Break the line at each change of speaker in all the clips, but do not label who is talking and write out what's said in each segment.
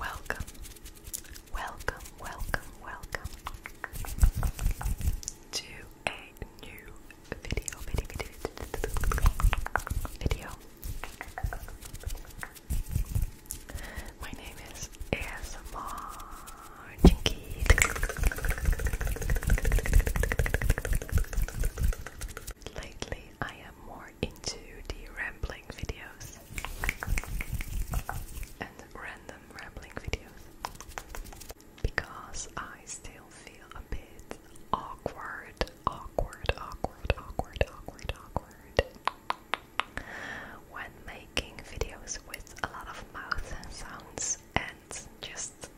Welcome, welcome, welcome, welcome to a new video, video, video, My name is ASMR Jinky. Lately, I am more into the rambling videos and random rambling videos because I still feel a bit awkward, awkward, awkward, awkward, awkward, awkward when making videos with a lot of mouth sounds and just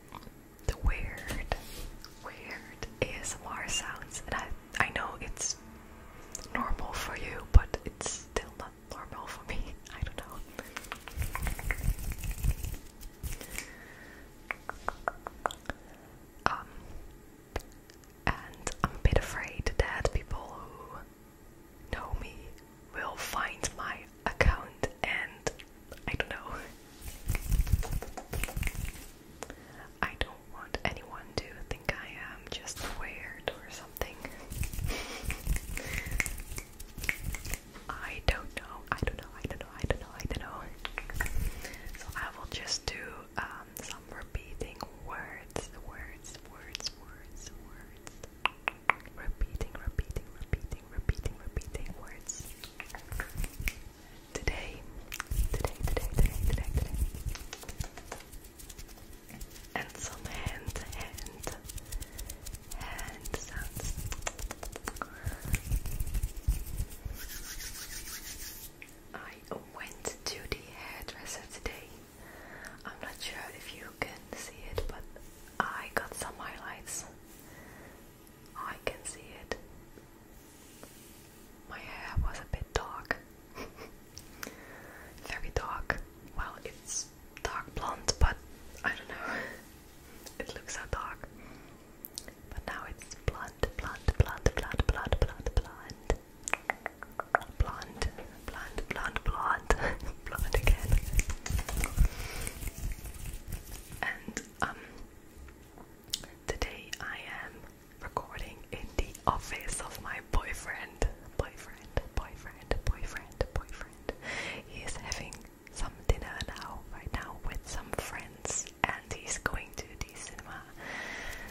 the weird, weird ASMR sounds. And I, I know it's normal for you, but it's still not normal for me. I don't know. Um, and I'm a bit afraid that people who know me will find my account and I don't know. I don't want anyone to think I am just weird or something. I don't know. I don't know. I don't know. I don't know. I don't know. So I will just do um, some repeating words, words, words, words, words. Repeating, repeating, repeating, repeating, repeating words today, today, today, today, today, today. And some hand, hand, hand sounds. I went to the hairdresser today. I'm not sure if you can see it, but I got some highlights. I can see it. My hair was a bit dark. Very dark. Well, it's dark blonde, but I don't know. it looks so dark. But now it's blonde, blonde, blonde, blonde, blonde, blonde, blonde. Blonde, blonde, blonde, blonde, blonde again. And um, Today I am recording in the office of my boyfriend. Boyfriend, boyfriend, boyfriend, boyfriend. He is having some dinner now, right now, with some friends, and he's going to the cinema.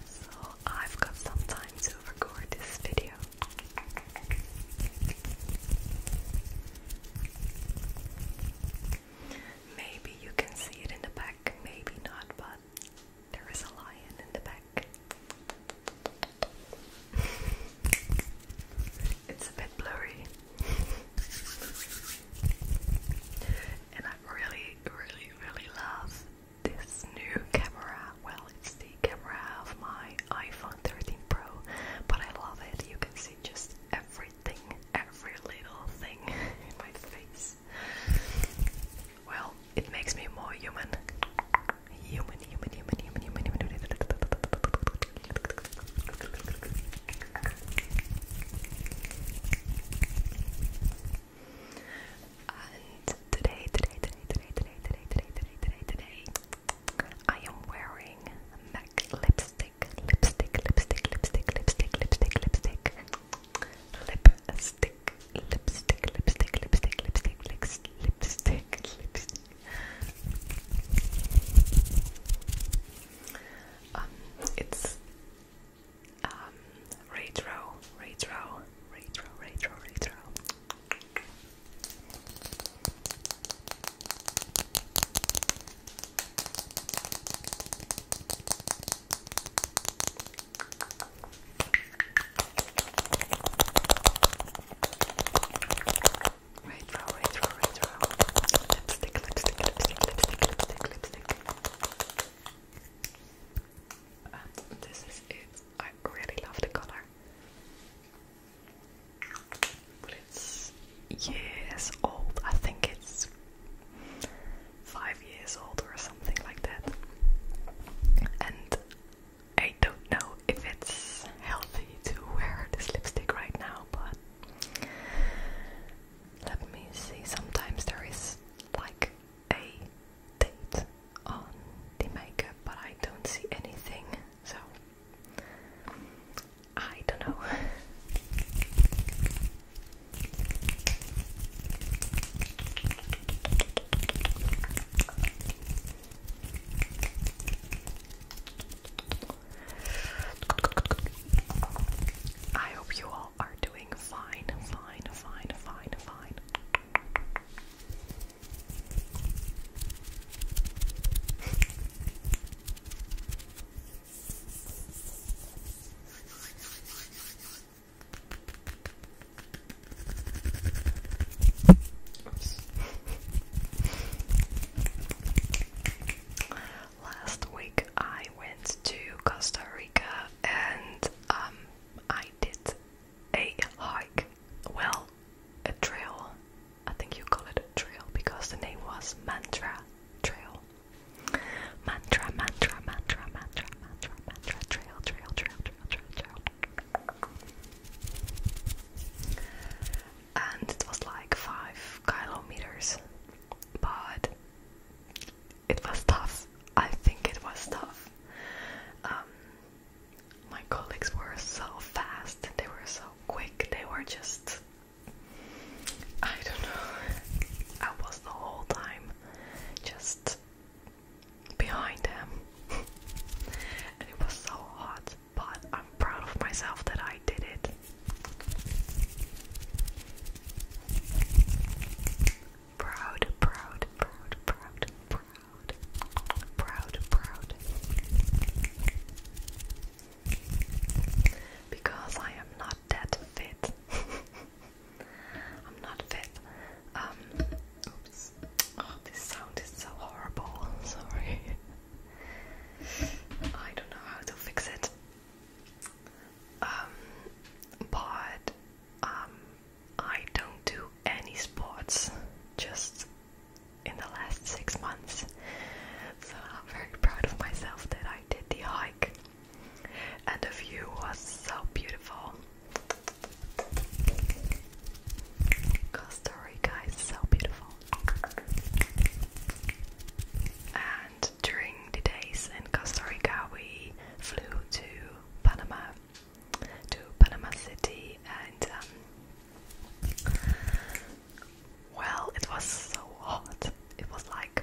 So I've got some time to record this video. Maybe you can see it in the back, maybe not, but there is a lion in the back. it's a bit blurry. and I really, really, really love this new camera. Well, it's the camera of my iPhone 13 Pro, but I love it. You can see just every everything, every little thing in my face. Well, it makes me more human. Human, human, human, human, human, human. And today, today, today, today, today, today, today, today, today, today, I am wearing MAC lipstick lipstick, lipstick, lipstick, lipstick, lipstick, lipstick, lipstick, lipstick, lipstick, lipstick, lipstick, lipstick, lipstick, lipstick, lipstick. Um, it's um retro, retro, retro, retro, retro. Retro, retro, retro. Lipstick, lipstick, lipstick, lipstick, lipstick, lipstick. Um, this is it. I really love the color. But it's years old. I think it's five years old or something like that. And I don't know if it's healthy to wear this lipstick right now, but let me see. Sometimes there is like a date on the makeup, but I don't see anything, so I don't know. I hope you all are doing fine, fine, fine, fine, fine. Last week I went to Costa Rica and um, I did a hike. Well, a trail. I think you call it a trail because the name was Mantra Trail. Mantra, mantra, mantra, mantra, mantra, mantra, trail, trail, trail, trail, trail, And it was like five kilometers, but it was tough. I think it was tough. Um, my colleagues were so fast, they were so quick, they were just I don't know. I was the whole time just behind him. and it was so hot, but I'm proud of myself that I did it. Proud, proud, proud, proud, proud, proud, proud. Because I am not that fit. I'm not fit. Um, oops. Oh, this sound is so horrible. Sorry. I don't know how to fix it. Um, but um, I don't do any sports. Just in the last six months, so I'm very proud of myself that I did the hike and the view was so beautiful. Costa Rica so beautiful. And during the days in Costa Rica, we flew to Panama, to Panama City, and um, well, it was so hot. It was like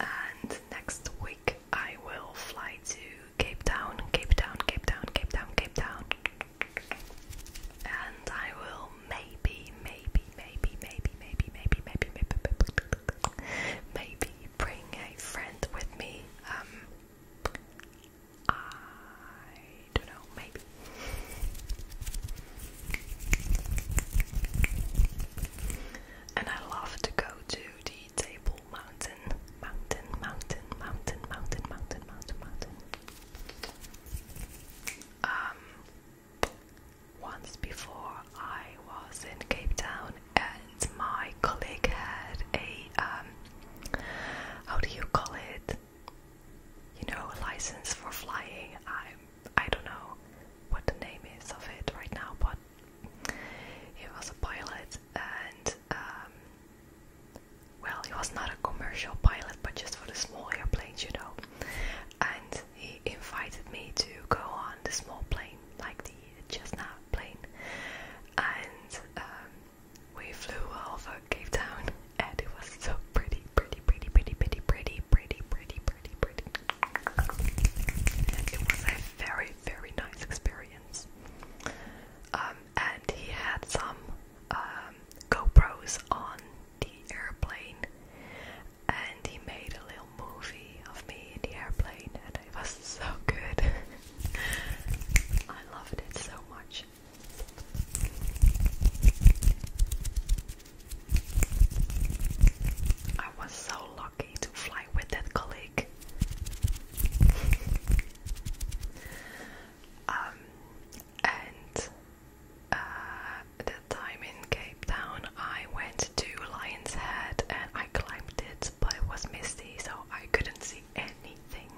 and next week I will fly to Cape Town, Cape Town, Cape Town, Cape Town, Cape Town. And I will maybe, maybe, maybe, maybe, maybe, maybe, maybe, maybe, maybe bring a friend with me. Um, I don't know, maybe. And I love to go to the Table Mountain, mountain, mountain, mountain, mountain, mountain, mountain, mountain. Um, once before I was in Cape Town, and my colleague had a um, how do you call it? You know, license for flying. I'm I don't know what the name is of it right now, but he was a pilot and um, well, he was not a commercial pilot, but just for the small airplanes, you know. And he invited me to go on the small plane, like the Cessna plane. And um, we flew over Cape Town, and it was so pretty, pretty, pretty, pretty, pretty, pretty, pretty, pretty, pretty, pretty. It was a very, very nice experience. Um, and he had some um, GoPros on the airplane, and he made a little movie of me in the airplane, and it was so good. I loved it so much. I was so lucky to fly with that colleague. um, and uh, time in Cape Town, I went to Lion's Head and I climbed it, but it was misty, so I couldn't see anything.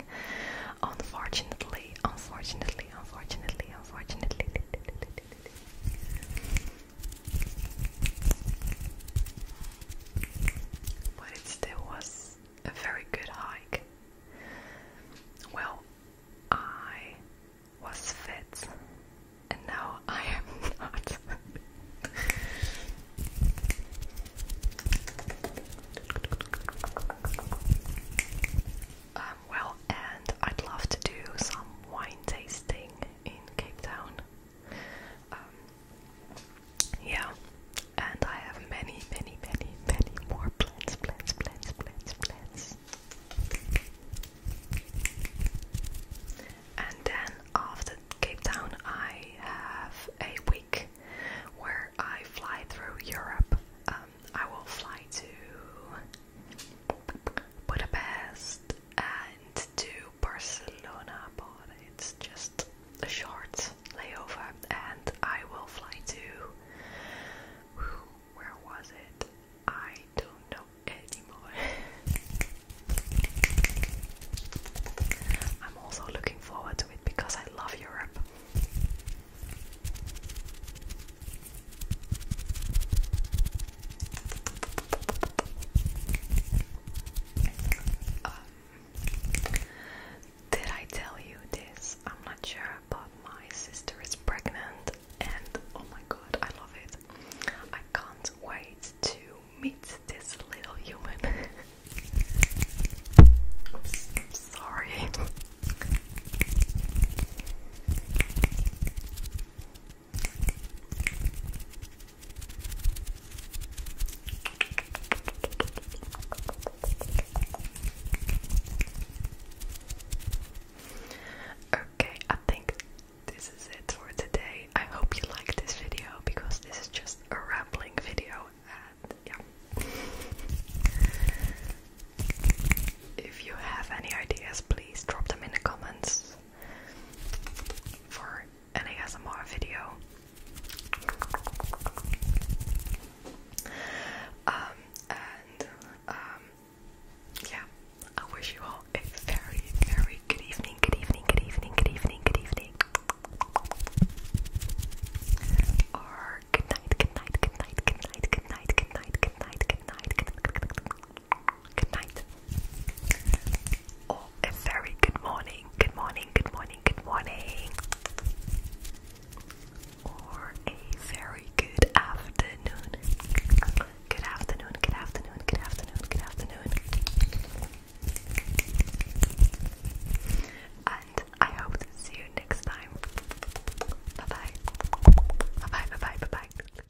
Unfortunately, unfortunately, unfortunately, unfortunately. But it still was a very good hike. Well, I was fit, and now I am not. um, well, and I'd love to do some wine tasting in Cape Town. Um, yeah, and I have many, many, many, many more plans, plans, plans, plans, plans. And then after Cape Town, I have a week where I fly through Europe. Um, I will fly to Budapest, and to Barcelona, but it's just a short layover, and I will fly to. Where was it? I don't know anymore. I'm also looking forward to it because I love Europe. Um, did I tell you this? I'm not sure, but my sister is pregnant, and oh my god, I love it. I can't wait to meet this little human. Oops, sorry. Okay, I think this is it for today. I hope you liked this video because this is just a rambling video and yeah. If you have any ideas, please drop them in the comments for an ASMR video. Um, and, um, yeah, I wish you all a very, very good evening, good evening, good evening, good evening, good evening. Or good night, good night, good night, good night, good night, good night, good night, good night, good night good night, or oh, a very good morning, good morning, good morning, good morning, or a very good afternoon, good afternoon, good afternoon, good afternoon, good afternoon, and I hope to see you next time. Bye bye, bye bye, bye bye, bye bye.